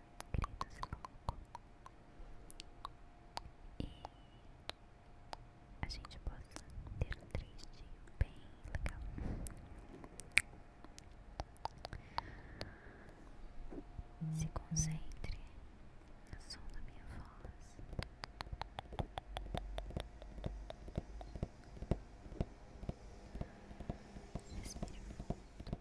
Gritos E a gente possa ter um tristinho bem legal. Se concentre no som da minha voz. Respire fundo.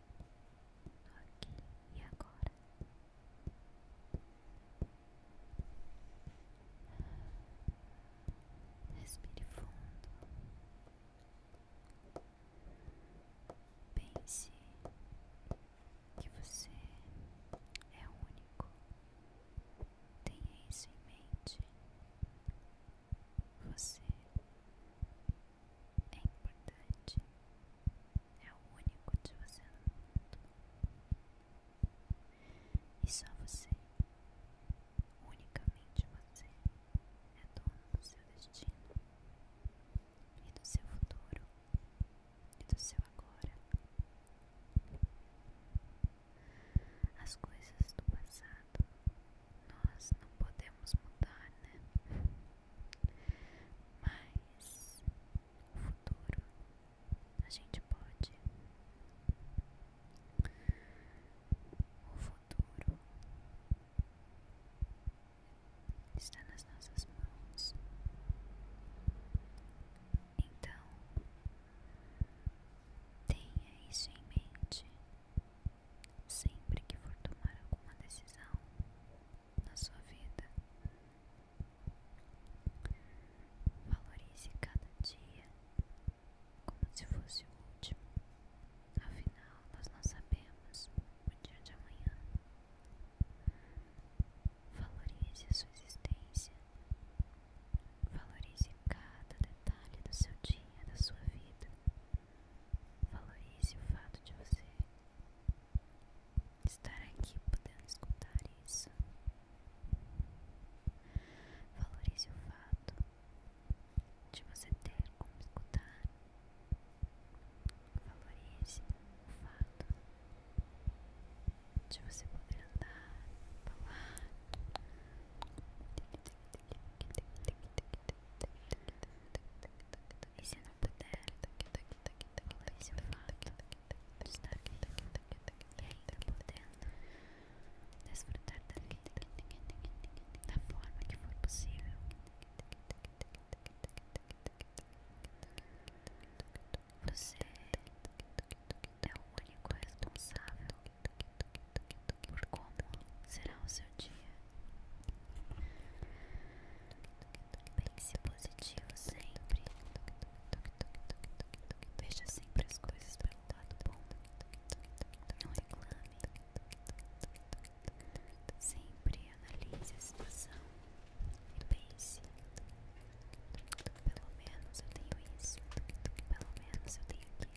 aqui e agora. Respire fundo. Pense que você é único. Tenha isso em mente. Você é importante, é o único de você no mundo. E só você, unicamente você, é dono do seu destino, e do seu futuro, e do seu agora. As coisas do passado nós não podemos mudar, né? Mas o futuro a gente pode. O futuro está nas nossas mãos. Então, tenha isso em mente Sempre que for tomar alguma decisão na sua vida, valorize cada dia como se fosse o último. Afinal, nós não sabemos o dia de amanhã. Valorize a sua existência. Valorize cada detalhe do seu dia, da sua vida. Valorize o fato de você estar aqui podendo escutar isso. Valorize o fato de você ter como escutar. Valorize o fato de você poder andar, falar. E se não puder, valorize o fato de estar vivo e ainda podendo desfrutar da vida da forma que for possível. Você é o único responsável por conta será o seu dia. Pense positivo sempre. Veja sempre as coisas pelo lado bom. Não reclame. Sempre analise a situação e pense. Pelo menos eu tenho isso. Pelo menos eu tenho aquilo.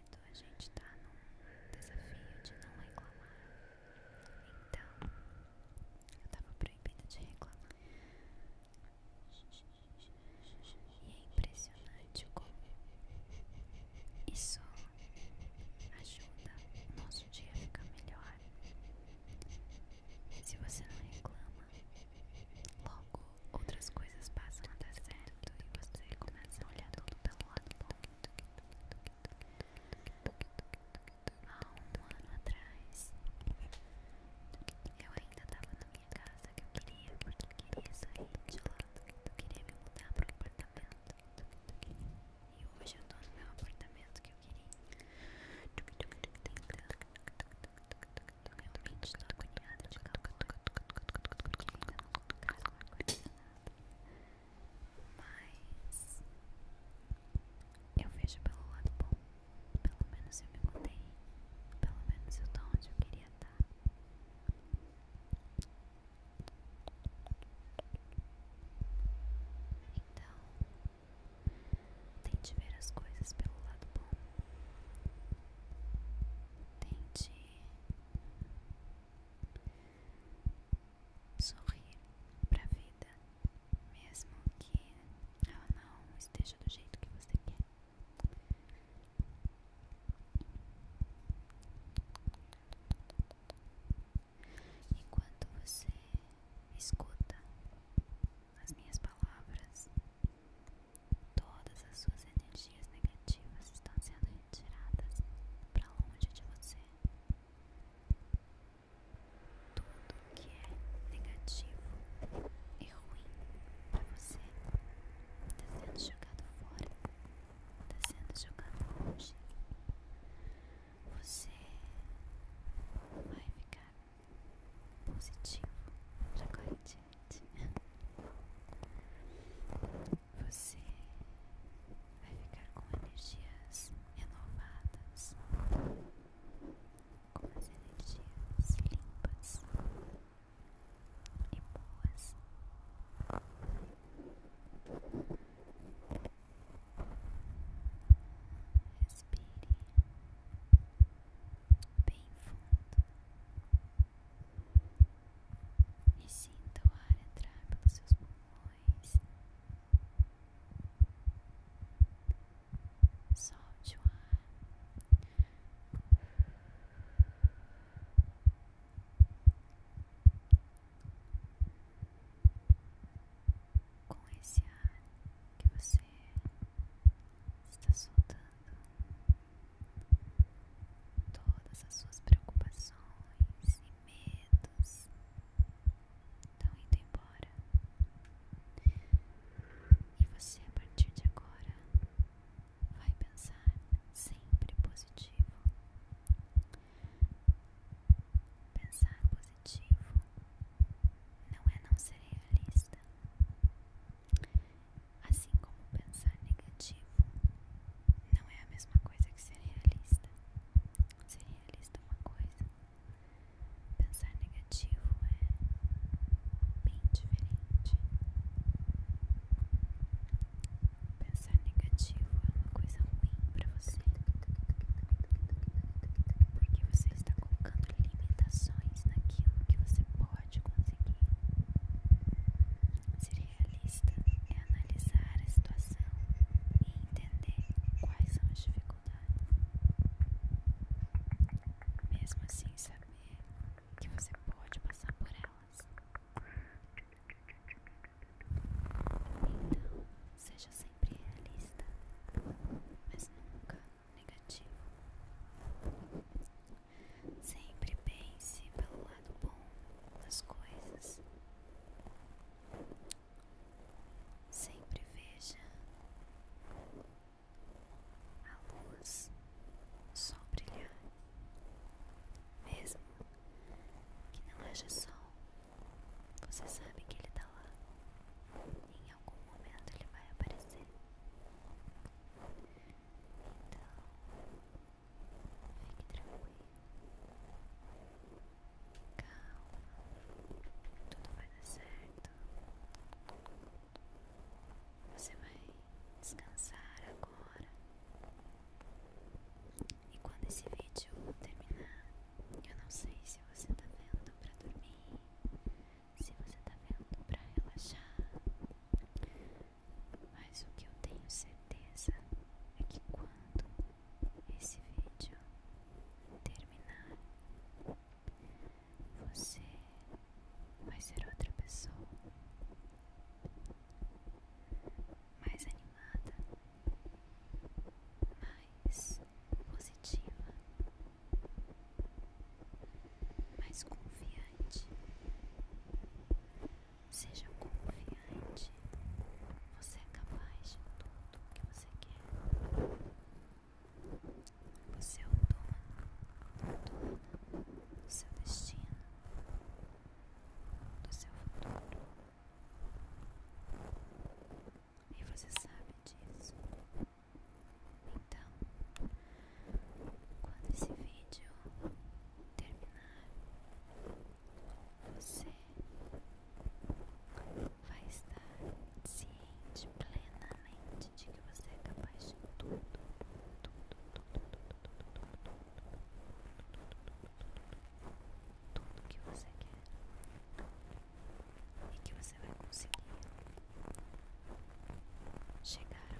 marido, então, a gente tá no desafio de não reclamar. Então, eu tava proibida de reclamar. E é impressionante como isso ajuda o nosso dia a ficar melhor. Se você não reclama, logo outras coisas passam a dar certo e você começa a olhar tudo pelo lado bom. Há um ano atrás Eu ainda tava na minha casa que eu queria Porque eu queria sair de lá Eu queria me mudar para pro apartamento E hoje eu tô no meu apartamento que eu queria eu realmente tô agoniada de calor Porque ainda não colocaram ar-condicionado mas eu vejo pelo lado bom. Pelo menos eu me contei, Pelo menos eu tô onde eu queria estar. Tá. Então, tente ver as coisas pelo lado bom. Tente Sorrir para a vida, mesmo que ela não esteja do jeito que você quer. Enquanto você escuta as minhas palavras, Todas as suas energias negativas estão sendo retiradas para longe de você. Tudo que é negativo e ruim para você está sendo jogado fora, está sendo jogado longe. Você vai ficar positivo, já corretivo. Você vai ficar com energias renovadas, com as energias limpas e boas. Respire bem fundo. E sinta o ar entrar pelos seus pulmões. Solte o ar. Com esse ar que você está soltando, todas as suas preocupações e medos estão indo embora. E você, a partir de agora, vai pensar sempre positivo. Pensar positivo não é não ser realista, Assim como pensar negativo não é a mesma coisa que ser realista. Ser realista é uma coisa, pensar negativo é bem diferente. Pensar negativo é uma coisa ruim para você, porque você está colocando limitações naquilo que você pode pode conseguir. Ser realista é analisar a situação e entender quais são as dificuldades. Mesmo assim, saber que você pode passar por elas. Então, seja sempre realista, mas nunca negativo. Sempre pense pelo lado bom das coisas. Sempre veja a luz, o sol brilhar, mesmo que não haja sol, você sabe que ele está lá. E em algum momento ele vai aparecer. Então, fique tranquilo. Calma, tudo vai dar certo. Você vai descansar agora. E quando esse vídeo terminar, eu não sei se você está vendo pra dormir, se você está vendo para relaxar. Mas o que eu tenho certeza é que quando esse vídeo terminar, você vai ser outra pessoa mais animada, mais positiva mais confiante. Seja confiante. Você é capaz de tudo o que você quer. Você é o dono, do seu destino, do seu futuro. E você sabe disso. Então, quando esse vídeo terminar, você vai estar ciente plenamente de que você é capaz de tudo, tudo, tudo, tudo, tudo, tudo, tudo, tudo tudo, tudo, que você quer e que você vai conseguir chegar